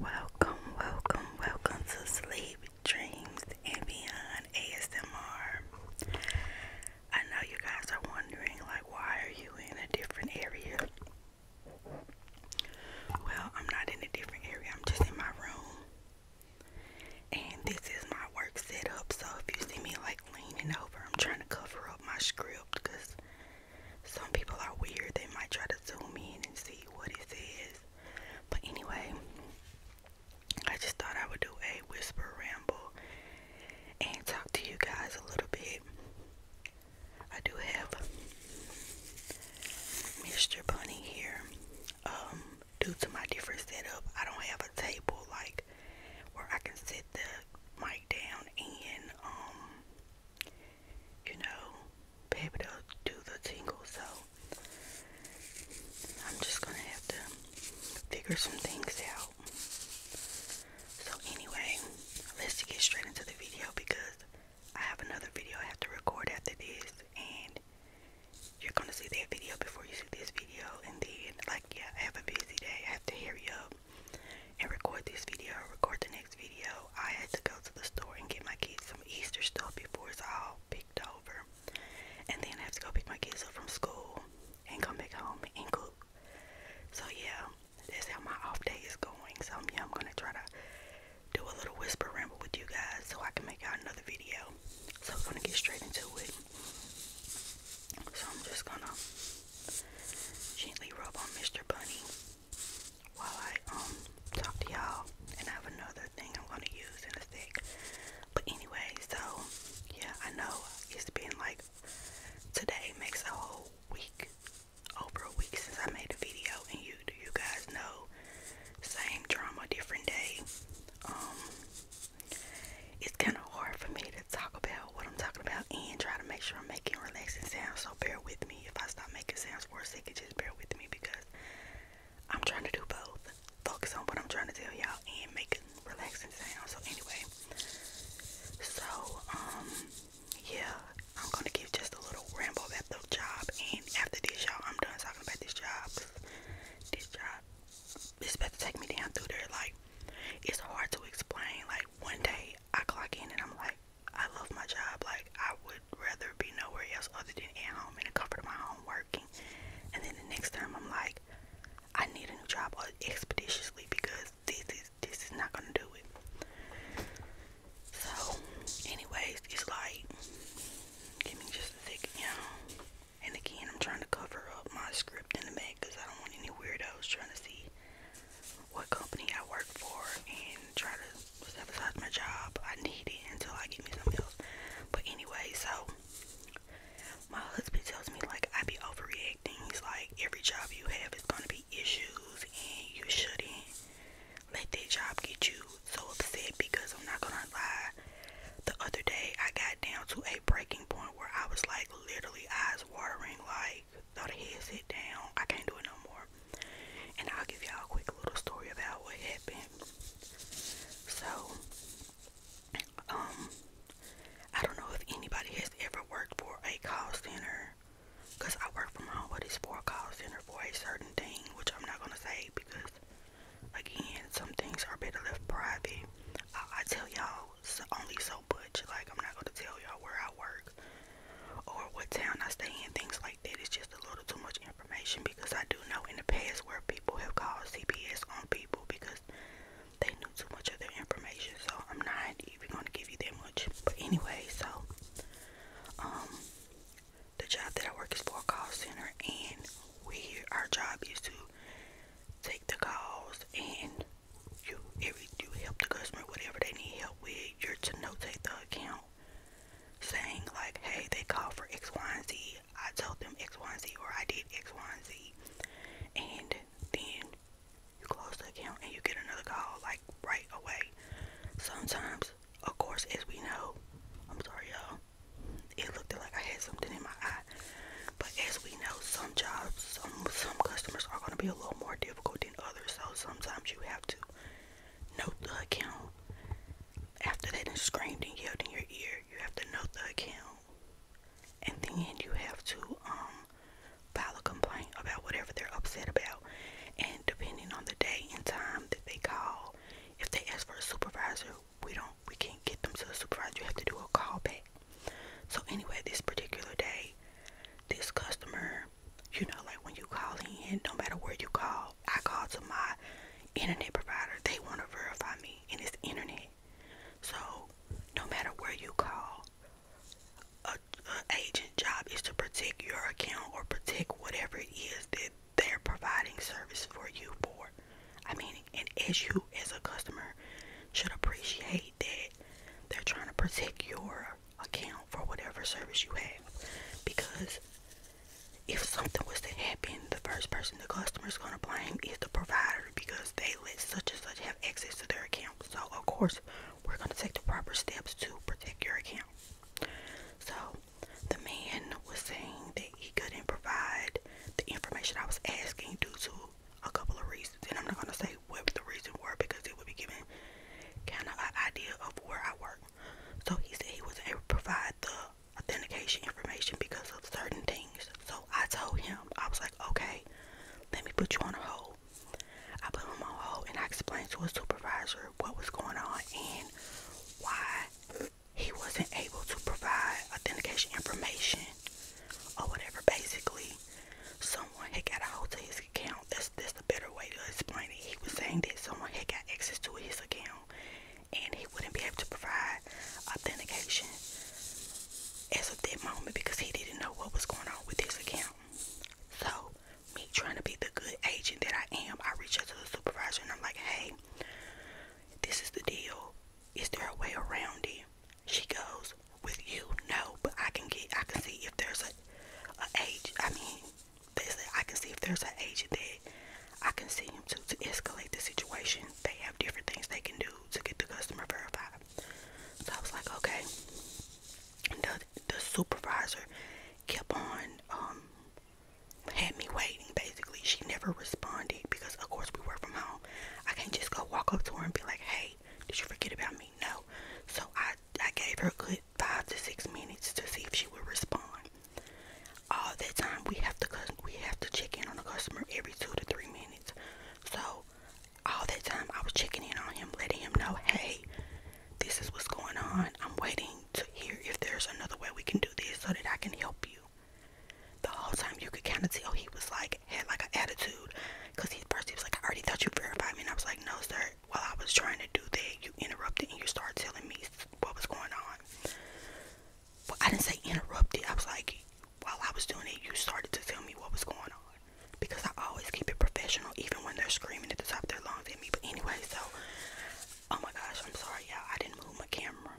Welcome, welcome, welcome to Sleep Dreams and Beyond ASMR. I know you guys are wondering, like, why are you in a different area? Well, I'm not in a different area, I'm just in my room. And this is my work setup, so if you see me like leaning over, I'm trying to cover up my script because some people are weird. They might try to zoom in and see what it says. But anyway, I just thought I would do a whisper ramble and talk to you guys a little bit. I do have Mr. Bunny here. Um, due to my different setup, I don't have a table like where I can sit the mic down and um, you know, be able to do the tingle. So I'm just gonna have to figure some things out. So anyway, let's get straight into the video because I have another video I have to record after this and you're gonna see that video before you see this video and then like yeah I have a busy day I have to hurry up and record this video record the next video I had to go to the store and get my kids some Easter stuff before it's all picked over and then I have to go pick my kids up from school and come back home and cook so yeah that's how my off day is going. So yeah, I'm gonna try to do a little whisper ramble with you guys so I can make out another video. So I'm gonna get straight into it. So I'm just gonna gently rub on Mr. Bunny while I um talk to y'all and I have another thing I'm gonna use in a sec. But anyway, so yeah, I know it's been like Today makes a whole week, over a week since I made a video, and you you guys know, same drama, different day. Um, it's kind of hard for me to talk about what I'm talking about and try to make sure I'm making relaxing sounds. So bear with me if I stop making sounds for a second. Just bear with me because I'm trying to do both. Focus on what I'm trying to tell y'all and make relaxing sound. So anyway, so um yeah, I'm gonna give just a little ramble about the job and after this y'all I'm done talking about this job. This job is about to take me down through there like it's hard to explain. Like one day I clock in and I'm like, I love my job. Like I would rather be nowhere else other than at home in the comfort of my home working. And then the next time I'm like, I need a new job uh, expeditiously because this is this is not gonna do it. So, anyways, it's like give me just a second, y'all. And again, I'm trying to cover up my script in the back because I don't want any weirdos trying to see what company I work for and try to sabotage my job. I need it until I get me something else. But anyway, so my husband tells me like I be overreacting like every job you have is going to be issues, and you shouldn't let that job get you so upset because I'm not going to lie. The other day, I got down to a breaking point where I was like literally eyes watering, like, thought throw the headset down, I can't do it no more. And I'll give y'all a quick little story about what happened. So, um, I don't know if anybody has ever worked for a call center because I work from home, but it's for a call center for a certain thing, which I'm not going to say because, again, some things are better left private. I, I tell y'all so, only so much. Like, I'm not going to tell y'all where I work or what town I stay in, things like that. It's just a little too much information because I do know in the past where people have called CPS on people because they knew too much of their information, so I'm not even gonna give you that much. But anyway, so um the job that I work is for a call center and we here our job is to take the calls and you every you help the customer whatever they need help with, you're to notate the account saying like, hey, they called for X, Y, and Z. I told them X, Y, and Z, or I did X, Y, and Z. And then you close the account and you get another call like right away. Sometimes, of course, as we know, I'm sorry y'all, it looked like I had something in my eye. But as we know, some jobs, some some customers are gonna be a little more difficult than others. So sometimes you have to note the account. After that, and screamed and yelled in your ear, you have to note the account. And then you have to um file a complaint about whatever they're upset about. And depending on the day and time that they call, if they ask for a supervisor, we don't we can't get them to a supervisor. You have to do a callback. So anyway, this particular day, this customer, you know, like when you call in, no matter where you call, I call to my internet provider. They want to verify me, and it's internet. So no matter where you call, a, a agent job is to protect your account or protect whatever it is that they're providing service for you for. I mean, and as you as a customer should appreciate that they're trying to protect your account for whatever service you have because if something was to happen, the first person the customer is going to blame is the provider because they let such and such have access to their account. So, of course, we're going to take the proper steps to protect your account. So, the man was saying that he couldn't provide the information I was asking due to a couple of reasons, and I'm not going to say what the reasons were because it would be giving kind of an idea of where I work. So, he said he wasn't able to provide the authentication information because of certain things. So, I told him, I was like, okay, let me put you on hold hole. I put him on hold and I explained to his supervisor what was going on and why he wasn't able to provide authentication information or whatever. Basically, someone had got a hold to his account. That's that's the better way to explain it. He was saying that someone had got access to his account and he wouldn't be able to provide authentication as of that moment because he didn't know what was going on with his account. So, me trying to be the good agent that I am, I reach out to the supervisor and I'm like, hey, this is the deal. Is there a way around it? She goes, with you, no, but I can get, I can see if there's a, a age, I mean, basically, I can see if there's an agent that I can see him to escalate the situation. They have different things they can do to get the customer verified. So I was like, okay the the supervisor kept on um had me waiting basically she never responded because of course we work from home i can't just go walk up to her and be like hey did you forget about me no so i i gave her a good five to six minutes to see if she would respond all that time we have to we have to check in on a customer every two to three minutes so all that time I was checking in on him, letting him know, hey, this is what's going on. I'm waiting to hear if there's another way we can do this so that I can help you. The whole time you could kind of tell he was like, had like an attitude. Because he first he was like, I already thought you verified me. And I was like, no, sir. While I was trying to do that, you interrupted and you started telling me what was going on. Well, I didn't say interrupted. I was like, while I was doing it, you started to tell me what was going on because I always keep it professional, even when they're screaming at the top of their lungs at me. But anyway, so oh my gosh, I'm sorry, y'all. I didn't move my camera,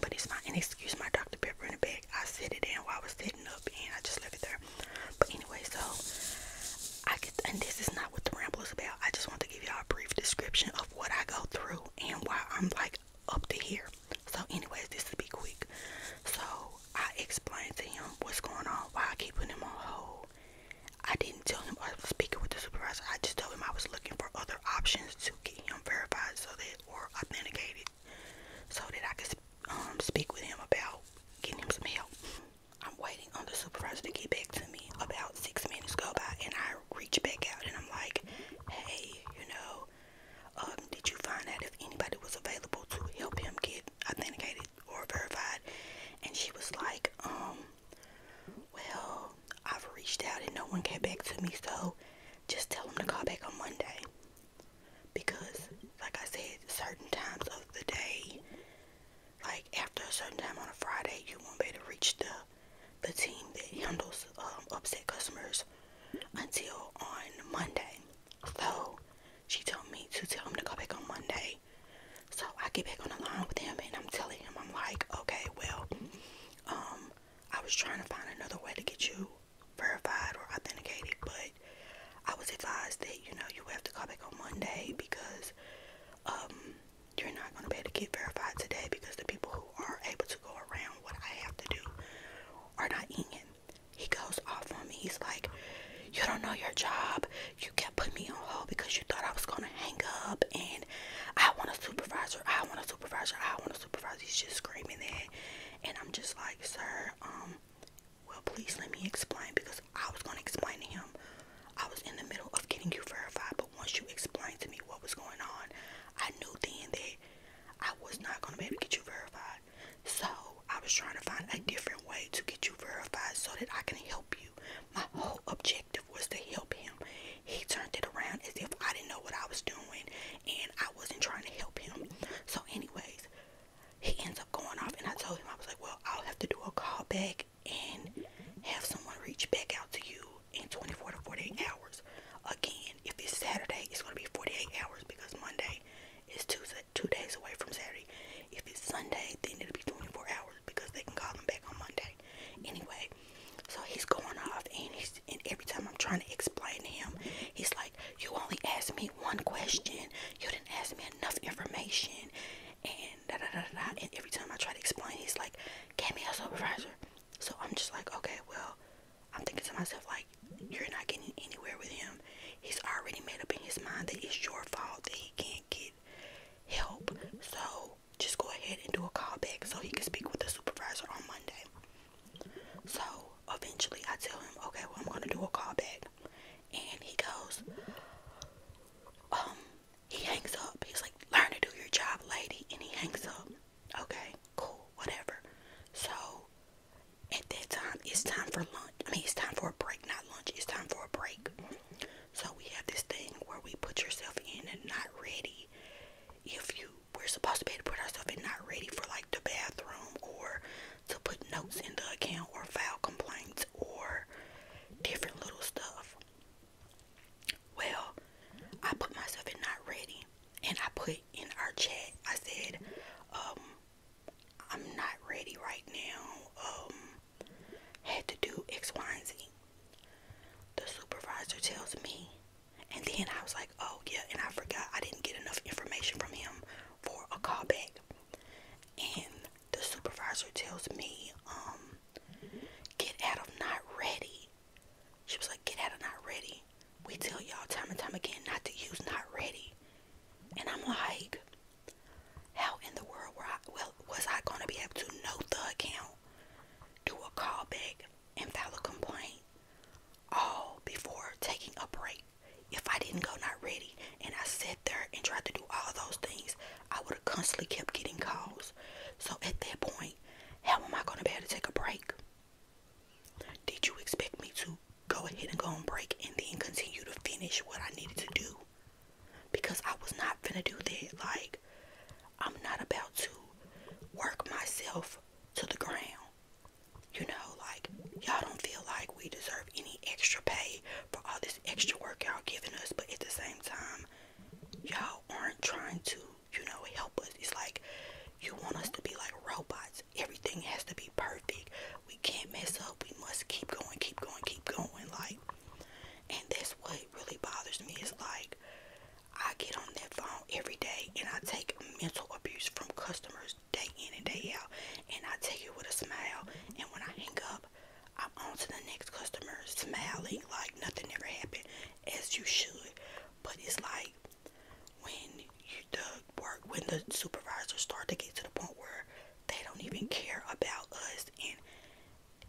but it's not an excuse. My Dr. Pepper in the bag, I set it in while I was sitting up, and I just left it there. But anyway, so I get, and this is not what the ramble is about. I just want to give y'all a brief description of what I go through and why I'm like up to here. So, anyways, this will be quick. So, I explained to him what's going on, why I keep putting him on hold. I didn't tell him I was uh, speaking with the supervisor. I just told him I was looking for other options to get him verified so that or authenticated so that I could um, speak with him about getting him some help. I'm waiting on the supervisor to get back to me. About six minutes go by and I reach back out and I'm like, hey, you know, um, did you find out if anybody was available to help him get authenticated or verified. And she was like, um, well, I've reached out and no one came back to me, so just tell them to call back on Monday. Because, like I said, certain times of the day, like after a certain time on a Friday, you won't be able to reach the the team that handles um, upset customers until on Monday. So she told me to tell him to go back on Monday. So I get back on the line with him and I'm telling him, I'm like, okay, well, um, I was trying to find another way to get you verified or authenticated, but I was advised that, you know, you have to call back on Monday because um you're not gonna be able to get verified today because the people who are able to go around what I have to do are not in he goes off on me. He's like, You don't know your job. You kept putting me on hold because you thought I was going to hang up. And I want a supervisor. I want a supervisor. I want a supervisor. He's just screaming that. And I'm just like, Sir, um, well, please let me explain because I was going to explain to him. I was in the middle of getting you verified, but once you explained to me what was going on, I knew then that I was not going to be able to get you verified. So I was trying to find a different way to get you verified so that I can help you. My whole objective was to help him. He turned it around as if I didn't know what I was doing and I wasn't trying to help him. So, anyways, he ends up going off, and I told him, I was like, Well, I'll have to do a call back and have someone reach back out to you in 24 to 48 hours. Again, if it's Saturday, it's going to be 48 hours because Monday it's two, two days away from Saturday. If it's Sunday, then it'll be 24 hours because they can call him back on Monday. Anyway, so he's going off, and every time I'm trying to explain to him, he's like, "You only asked me one question. You didn't ask me enough information." And da da da da. And every time I try to explain, he's like, "Get me a supervisor." So I'm just like, "Okay, well." I'm thinking to myself like, you're not getting anywhere with him he's already made up in his mind that it's your fault that he can't get help. So just go ahead and do a callback so he can speak with the supervisor on Monday. So eventually I tell him, okay, well, I'm going to do a callback. And he goes, um, he hangs up. He's like, learn to do your job, lady. And he hangs up. Okay, cool, whatever. So at that time it's time for lunch i mean it's time for a break not lunch it's time for a break so we have this thing where we put yourself in and not ready if you we're supposed to be able to put ourselves in not ready for like the bathroom or to put notes in the account or file complaints or different little stuff well i put myself in not ready and i put in our chat i said um I'm not ready right now. Um, had to do X, Y, and Z. The supervisor tells me, and then I was like, oh yeah, and I forgot I didn't get enough information from him for a callback. And the supervisor tells me, um, get out of not ready. She was like, get out of not ready. We tell y'all time and time again not to use not ready. And I'm like, how in the world were I, well, was I going to be able to know the account, do a call callback, and file a complaint all before taking a break? If I didn't go not ready and I sat there and tried to do all those things, I would have constantly kept getting calls. So at that point, how am I going to be able to take a break? Did you expect me to go ahead and go and break and then continue to finish what I needed to do. Because I was not gonna do that. Like, I'm not about to work myself to the ground. You know, like, y'all don't feel like we deserve any extra pay for all this extra work y'all giving us, but at the same time, y'all aren't trying to, you know, help us. It's like you want us to be like robots, everything has to be perfect we can't mess up. We must keep going, keep going, keep going. Like, and that's what really bothers me is like, I get on that phone every day and I take mental abuse from customers day in and day out. And I take it with a smile. And when I hang up, I'm on to the next customer smiling like nothing ever happened, as you should. But it's like when the work when the supervisors start to get to the point where they don't even care about us and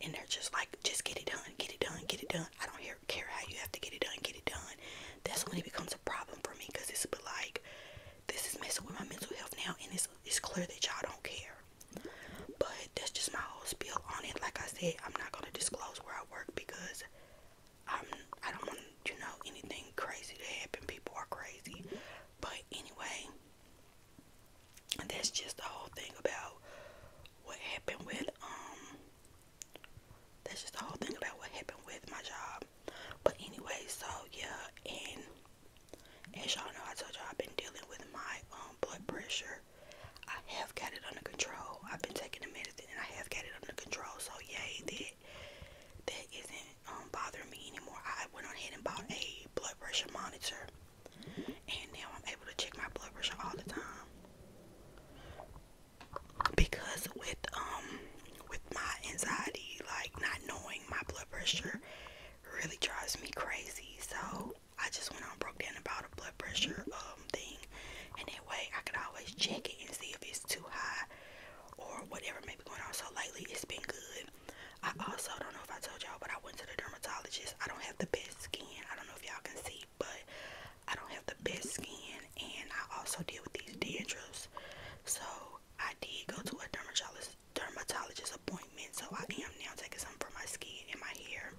and they're just like just get it done get it done get it done i don't care how you have to get it done get it done that's when it becomes a problem for me because it's but like this is messing with my mental health now and it's it's clear that y'all don't care but that's just my whole spiel on it like i said i'm not going to disclose where i work because i'm i don't want you know anything crazy to happen people are crazy but anyway that's just the whole thing about what happened with um that's just the whole thing about what happened with my job. But anyway, so yeah, and as y'all know I told y'all I've been dealing with my um blood pressure. I have got it under control. I've been taking the medicine and I have got it under control. So yay that that isn't wasn't um, bothering me anymore. I went on ahead and bought a blood pressure monitor, and now I'm able to check my blood pressure all the time because with um with my anxiety, like not knowing my blood pressure, really drives me crazy. So I just went on broke down about a blood pressure um thing, and that way I could always check it and see if it's too high or whatever may be going on. So lately it's been good. I also don't know if I told y'all, but I went to the dermatologist. I don't have the best skin. I don't know if y'all can see, but I don't have the best skin, and I also deal with these dandruffs. So I did go to a dermatologist dermatologist appointment. So I am now taking some for my skin and my hair,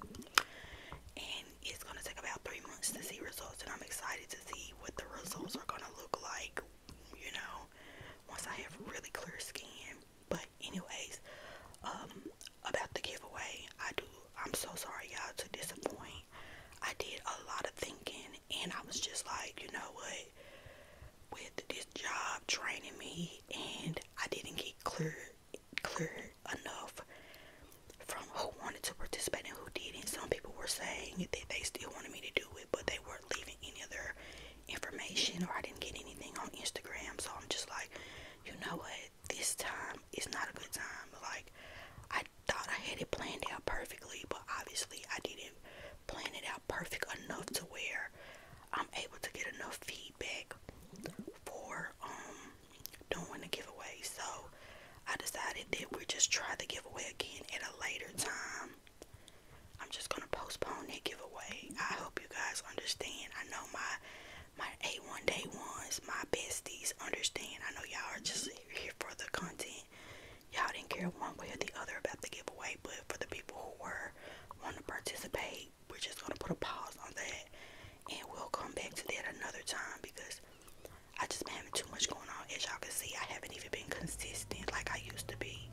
and it's gonna take about three months to see results. And I'm excited to see what the results are gonna look like you know, once I have really clear skin. But anyways, um, about the giveaway, I do I'm so sorry y'all to disappoint. I did a lot of thinking and I was just like, you know what? With this job training me and I didn't get clear clear enough from who wanted to participate and who didn't. Some people were saying that they still wanted me to do it, but they weren't leaving any other information or I didn't get anything on Instagram. So I'm just like, you know what? This time is not a good time. Like, I thought I had it planned out perfectly, but obviously I didn't plan it out perfect enough to where I'm able to get enough feedback for um, doing the giveaway. So I decided that we just try the giveaway again at a later time I'm just gonna postpone that giveaway. I hope you guys understand. I know my my A1 day ones, my besties understand. I know y'all are just here for the content. Y'all didn't care one way or the other about the giveaway, but for the people who were wanting to participate, we're just gonna put a pause on that and we'll come back to that another time because I just been having too much going on. As y'all can see, I haven't even been consistent like I used to be.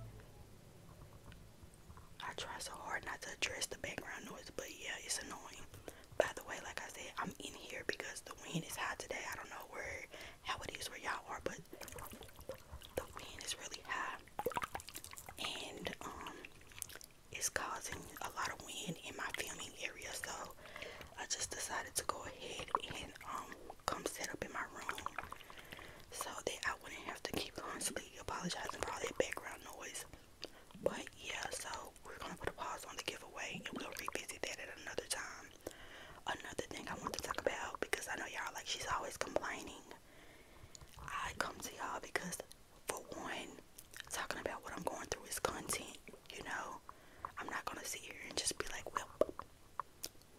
I try so hard not to address the background noise, but yeah, it's annoying. By the way, like I said, I'm in here because the wind is high today. I don't know where how it is where y'all are, but the wind is really high, and um, it's causing a lot of wind in my filming area. So I just decided to go ahead and um, come set up in my room so that I wouldn't have to keep constantly apologizing for all that background noise. But yeah, so we're gonna put a pause on the giveaway and we'll revisit that at another time. Another thing I want to talk about because I know y'all like she's always complaining. I come to you because for one, talking about what I'm going through is content, you know. I'm not gonna sit here and just be like, well,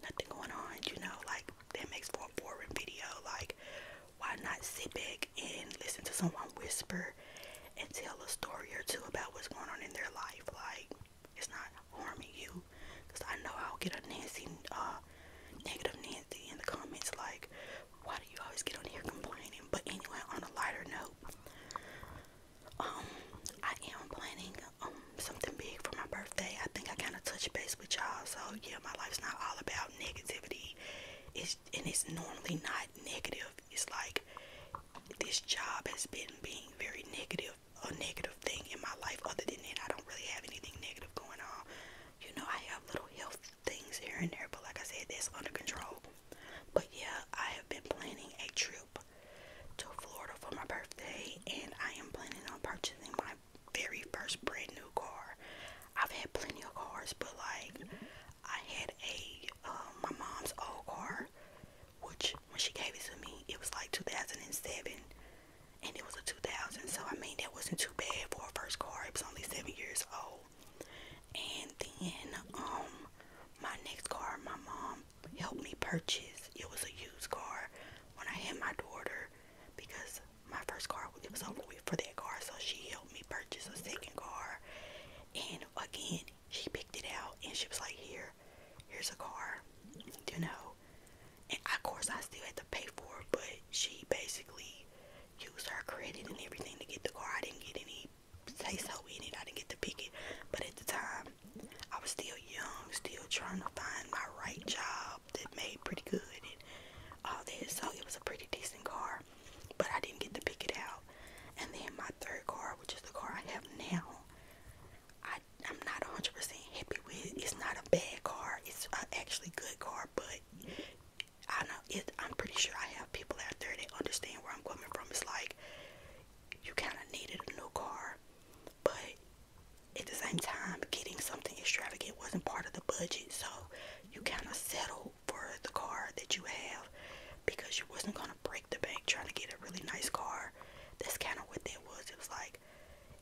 nothing going on, you know, like that makes for a boring video. Like, why not sit back and listen to someone whisper and tell a story or two about what's going on in their life? Like, it's not harming you. Because I know I'll get a Nancy, uh, negative Nancy in the comments, like, why do you always get on here complaining? But anyway, on a lighter note, um, I am planning um something big for my birthday birthday, I think I kind of touched base with y'all. So yeah, my life's not all about negativity. It's and it's normally not negative. It's like this job has been being very negative, a negative thing in my life. Other than that, I don't really have anything negative going on. You know, I have little health things here and there, but like I said, that's under control. But yeah, I have been planning a trip to Florida for my birthday, and I am planning on purchasing my very first brand new car. I've had plenty of cars, but like I had a um my mom's old car, which when she gave it to me, it was like 2007, and it was a 2000. So I mean that wasn't too bad for a first car. It was only seven years old. And then um my next car, my mom helped me purchase. It was a used car when I had my daughter because my first car it was over with for that car, so she helped me purchase a second car. And again, she picked it out and she was like, "Here, here's a car," you know. of course, I still had to pay for it, but she basically used her credit and everything to get the car. I didn't get any say so in it. I didn't get to pick it, but at the time, I was still young, still trying to find my right job that made pretty good and all that. So it was a pretty decent car, but I didn't get to pick it out. And then my third car, which is the car I have now, I I'm not 100% happy with. It's not a bad car. It's an actually good car, but I know it. I'm pretty sure I have people out there that understand where I'm coming from. It's like you kind of needed a new car, but at the same time, getting something extravagant wasn't part of the budget, so you kind of settled for the car that you have because you wasn't gonna break the bank trying to get a really nice car. That's kind of what that was. It was like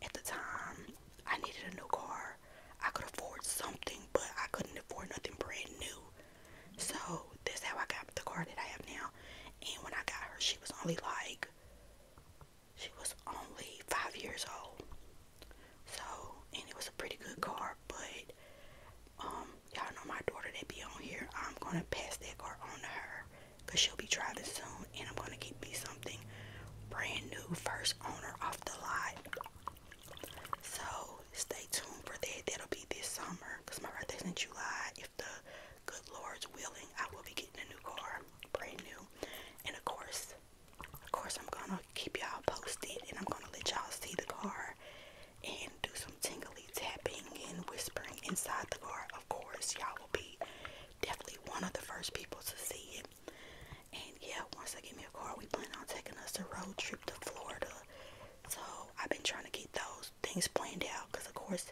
at the time I needed a new car. I could afford something, but I couldn't afford nothing brand new. So that's how I got the car that I have now. And when I got her, she was only like she was only five years old. So, and it was a pretty good car, but um, y'all know my daughter that be on here. I'm gonna pass that car on to her because she'll be driving soon, and I'm gonna get me something brand new, first owner off the lot. So stay tuned for that. That'll be this summer because my birthday's in July. If the good Lord's willing, I will be getting a new car, brand new, and of course, of course, I'm gonna keep y'all posted and I'm gonna let y'all see the car and do some tingly tapping and whispering inside the car. Of course, y'all will be definitely one of the first people to see it. And yeah, once I give me a car, we plan on taking us a road trip to Florida. So I've been trying to get those things planned out because, of course,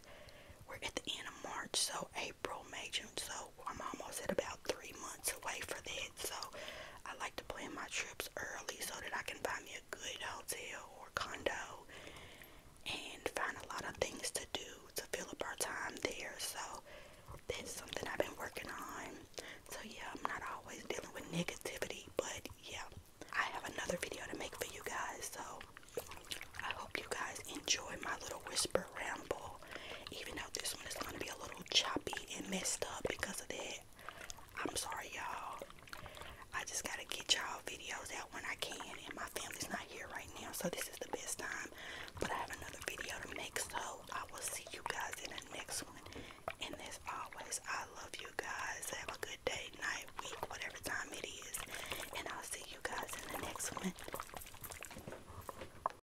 we're at the end of March, so April, May, June. So I'm almost at about three months away for that. So I like to plan my trips early so that I can find me a good hotel or condo and find a lot of things to do to fill up our time there. So that's something I've been working on. So yeah, I'm not always dealing with negativity, but yeah, I have another video to make for you guys. So I hope you guys enjoy my little whisper ramble even though this one is gonna be a little choppy and messed up because of that. I'm sorry, y'all. I just gotta get y'all videos out when I can, and my family's not here right now, so this is the best time. But I have another video to make, so I will see you guys in the next one. And as always, I love you guys. Have a good day, night, week, whatever time it is. And I'll see you guys in the next one.